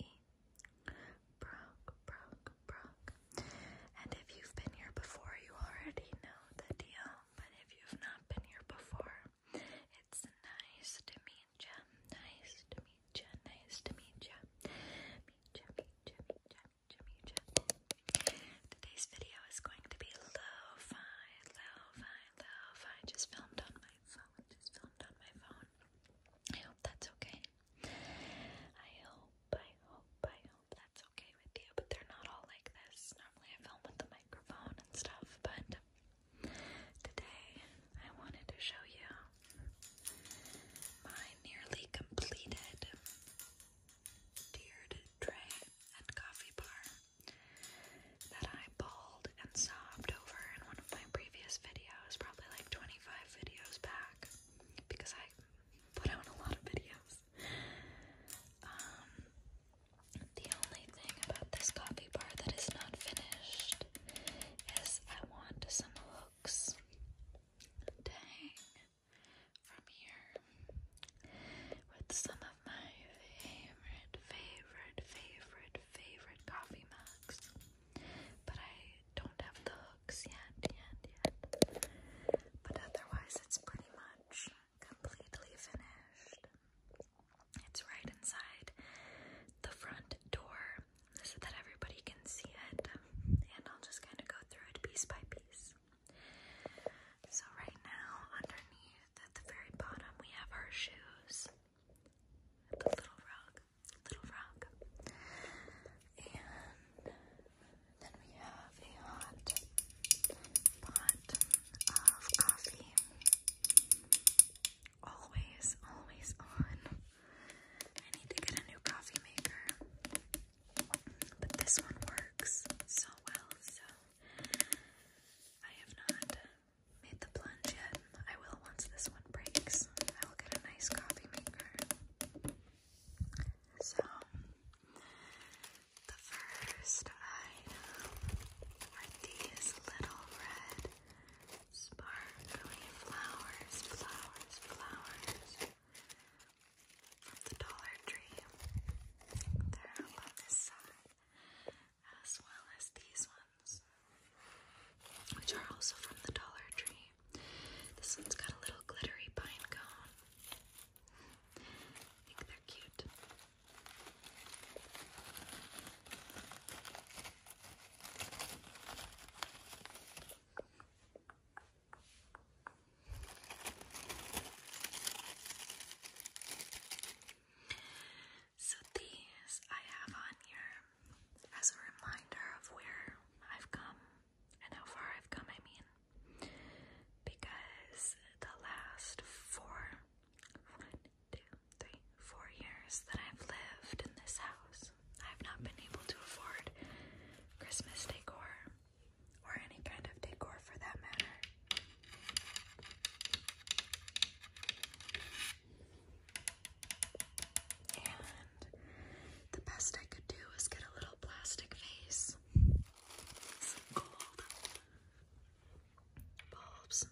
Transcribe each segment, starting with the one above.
E. Brock, Brock, Brock. And if you've been here before, you already know the deal. But if you've not been here before, it's nice to meet you. Nice to meet ya. Nice to meet ya. Meet ya, meet ya, meet ya, meet ya, meet ya. Today's video is going to be lo-fi, lo-fi, lo-fi. Just filmed on my phone. Just filmed on my phone. I hope that's okay. I hope, I hope, I hope that's okay with you, but they're not all like this. Normally I film with the microphone and stuff, but today I wanted to show you my nearly completed tiered tray and coffee bar that I bawled and sobbed over in one of my previous videos, probably like 20 25 videos back because I put out a lot of videos. Um, the only thing about this coffee bar that is not finished is I want some hooks to hang from here with some of my favorite, favorite, favorite, favorite coffee mugs. But I don't have the hooks yet, yet, yet. But otherwise, it's pretty much completely finished. It's right inside the front door so that everybody can see it. And I'll just kind of go through it piece by piece. So, right now, underneath at the very bottom, we have our shoes the little rock, little rock. And then we have a hot pot of coffee. Always, always on. I need to get a new coffee maker. But this one works so well, so I have not made the plunge yet I will once this one breaks. I will get a nice coffee maker. So, the first are these little red sparkly flowers, flowers, flowers from the Dollar Tree. They're on this side as well as these ones which are also from the Dollar Tree. This one's got a little glittery pine cone. I think they're cute. So these I have on here as a reminder of where I've come and how far I've come, I mean. Because the last four, one, two, three, four years that I've lived in this house, I've not been able to afford Christmas decor or any kind of decor for that matter. And the best I could do was get a little plastic vase, some gold bulbs,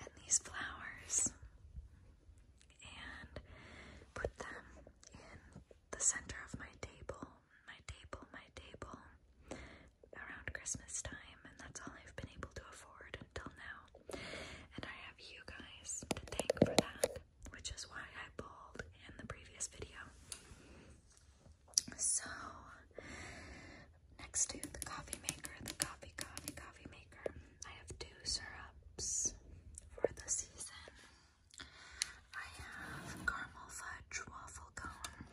and these flowers, and put them in the center of my table, my table, my table around Christmas time, and that's all I've been able to afford until now. And I have you guys to thank for that, which is why I pulled in the previous video. So, next to the coffee maker, the coffee, coffee, coffee maker, I have two syrups for the season. I have caramel fudge waffle cone,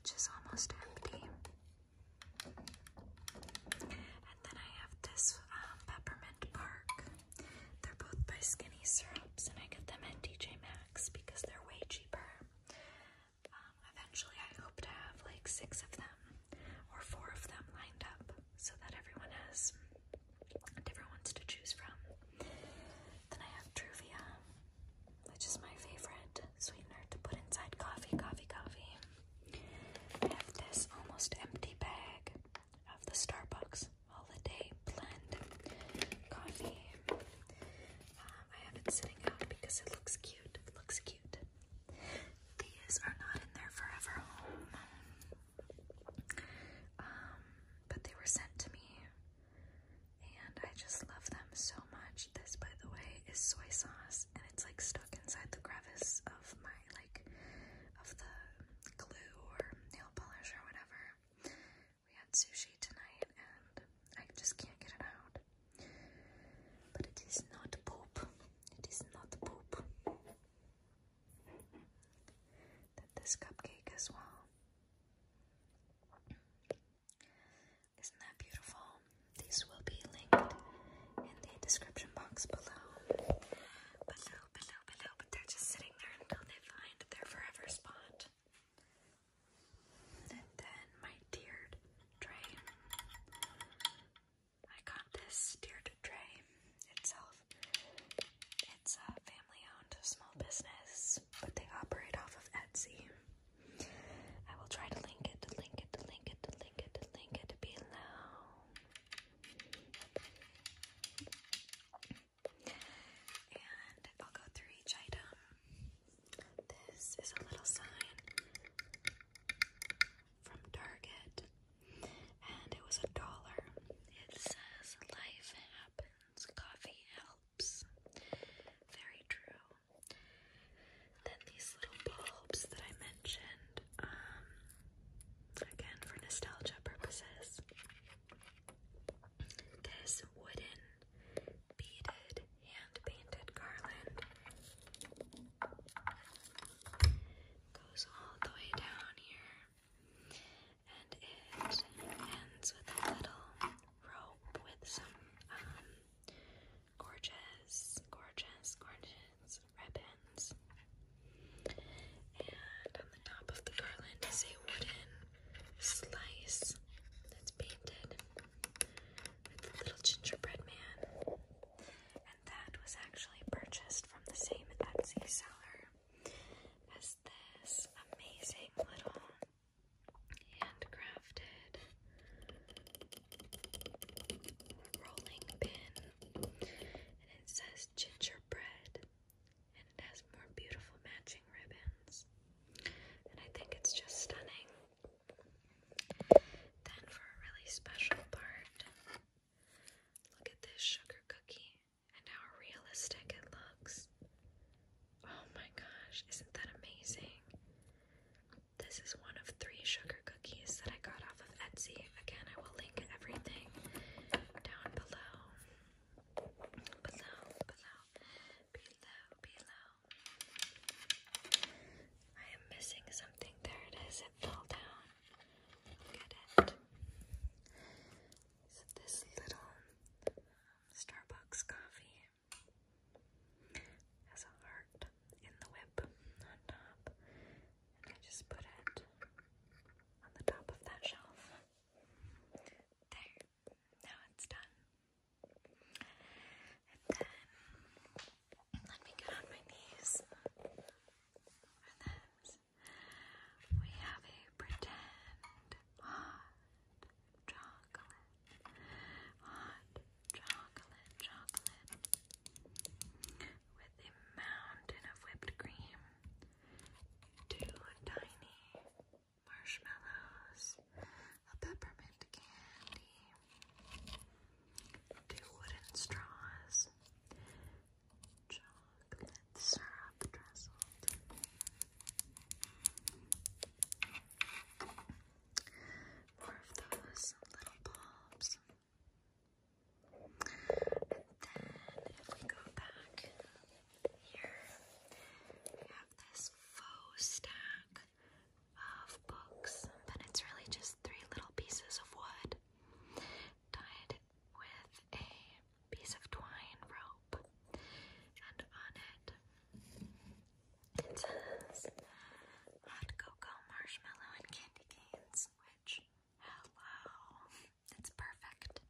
which is almost empty. And then I have this um, Peppermint Bark. They're both by Skinny Syrups, and I get them at DJ Maxx because they're way cheaper. Um, eventually, I hope to have like six of them or four of them lined up so that everyone has different ones to choose from. Then I have Truvia, which is my favorite sweetener to put inside coffee, coffee, coffee. I have this almost empty bag of the Starbucks Holiday Blend coffee. Um, I have it sitting out because it looks cute. It looks cute. These are not in their forever home. Um, but they were sent to me, and I just love them so much. This, by the way, is soy sauce, it's like stuck inside the crevice of my like of the glue or nail polish or whatever. We had sushi tonight and I just can't get it out. But it is not poop. It is not poop. That this cupcake as well. Isn't that beautiful? These will be linked in the description box below. Below, below, below. But they're just sitting there until they find their forever spot. And then my tiered tray. I got this tiered tray itself. It's a family owned small business, but they operate off of Etsy. I will try to link it, to link it, to link it, to link it, to link it below. And I'll go through each item. This is a little sign from Target, and it was a dollar. It says, Life happens, coffee helps. Very true. Then these little bulbs that I mentioned, um, again for nostalgia purposes. This wooden beaded hand painted garland goes all the way down here and it ends with a little rope with some um, gorgeous, gorgeous, gorgeous ribbons. And on the top of the garland is a wooden slice that's painted with a little gingerbread man. And that was actually purchased from the same Etsy seller as this amazing little handcrafted rolling pin, and it says gingerbread, and it has more beautiful matching ribbons, and I think it's just stunning. Then, for a really special part, look at this sugar cookie and how realistic it looks. Oh my gosh, isn't that amazing? This is one of three sugar cookies that I got off of Etsy. Again, I will link everything down below. Below, below, below, below. I am missing something. There it is. It fell down. Look it. So this little Starbucks coffee has a heart in the whip on top, and I just put it on the top of that shelf. There, now it's done. And then let me get on my knees for this. We have a pretend pot chocolate, hot chocolate, chocolate, with a mountain of whipped cream, two tiny marshmallows, a peppermint candy, two wooden straws, chocolate syrup drizzled more of those little bulbs. then if we go back here, we have this faux stack of books, but it's really just three little pieces of wood tied with a piece of twine rope, and on it it says hot cocoa, marshmallow, and candy canes, which, hello, oh, it's perfect.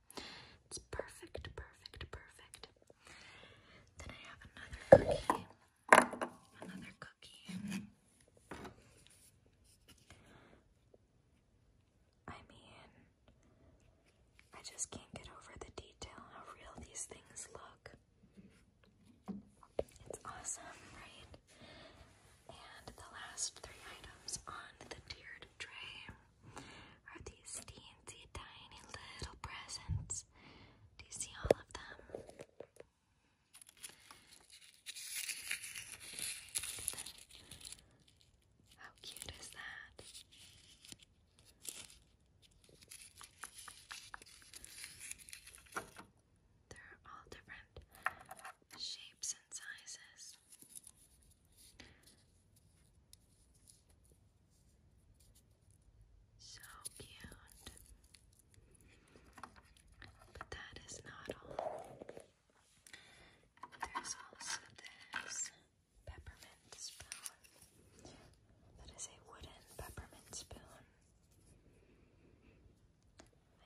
It's perfect, perfect, perfect. Then I have another cookie. Another cookie. I mean, I just can't get over the detail how real these things look. It's awesome, right? And the last three items on the tiered tray are these teensy tiny little presents. Do you see all of them? How cute is that? They're all different shapes and sizes. So cute. But that is not all. There's also this peppermint spoon. That is a wooden peppermint spoon.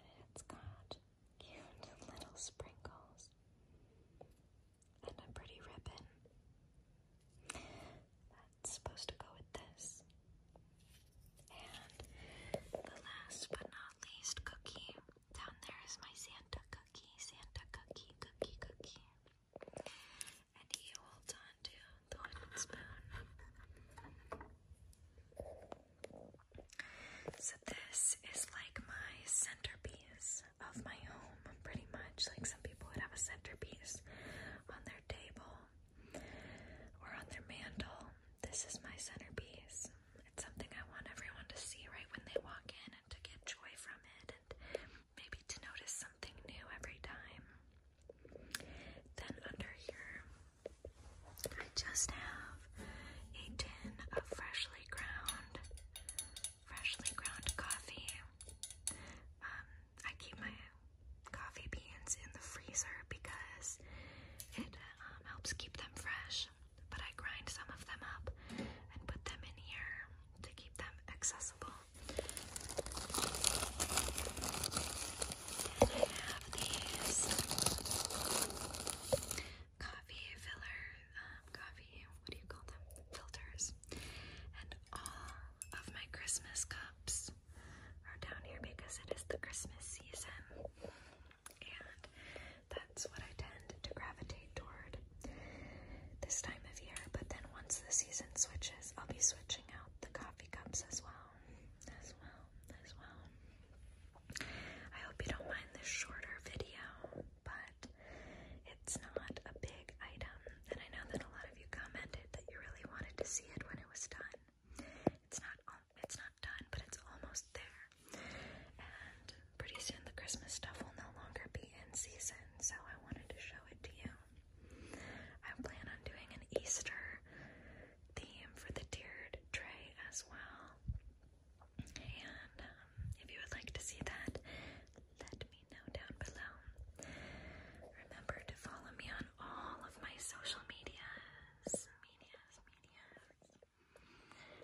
And it's got cute little sprinkles and a pretty ribbon. That's supposed to go with this. And the last but not least cookie down there is my Santa cookie, Santa cookie, cookie, cookie and he holds on to the wooden spoon. So this is like my centerpiece of my home, pretty much. Like some people would have a centerpiece on their table or on their mantle. This is my centerpiece. It's something I want everyone to see right when they walk in and to get joy from it maybe to notice something new every time. Then under here, I just have a tin of freshly ground, freshly ground coffee. Um, I keep my coffee beans in the freezer because it um, helps keep them fresh. But I grind some of them up and put them in here to keep them accessible. And I have these coffee filler, um, coffee, what do you call them? Filters. And all of my Christmas cups are down here because it is the Christmas season. And that's what I tend to gravitate toward this time of year. But then once the season switches, I'll be switching out the coffee cups as well. As well, as well. I hope you don't mind this shorter video, but it's not a big item. And I know that a lot of you commented that you really wanted to see it when it was done. It's not it's not done, but it's almost there. And pretty soon the Christmas stuff will no longer be in season, so I wanted to show it to you. I plan on doing an Easter theme for the tiered tray as well. And um, if you would like to see that, let me know down below. Remember to follow me on all of my social medias, medias,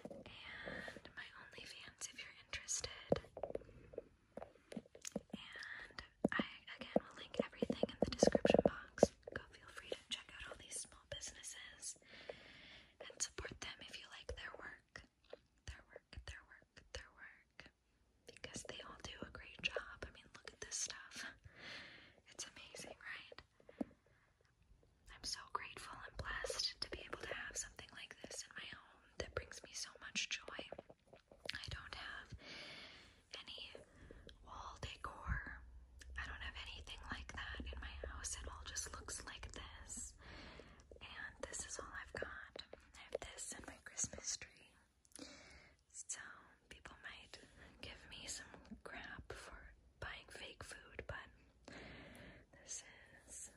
and my OnlyFans if you're interested. And I again will link everything in the description box. Go feel free to check out all these small businesses and support them if you like their work. Their work, their work, their work. Because they all do a great job. I mean, look at this stuff. It's amazing, right? I'm so grateful and blessed to be able to have something like this in my home that brings me so much joy. I don't have any wall decor. I don't have anything like that in my house. It all just looks like this. And this is all I've got. I have this in my Christmas tree. So people might give me some crap for buying fake food, but this is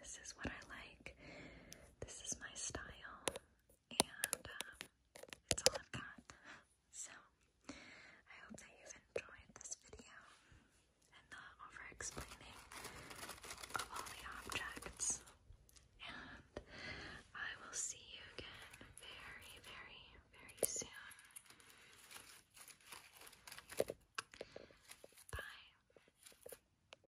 this is what I like. This is my style, and um, all I've got. So I hope that you've enjoyed this video and the over-explaining of all the objects. And I will see you again very, very, very soon. Bye.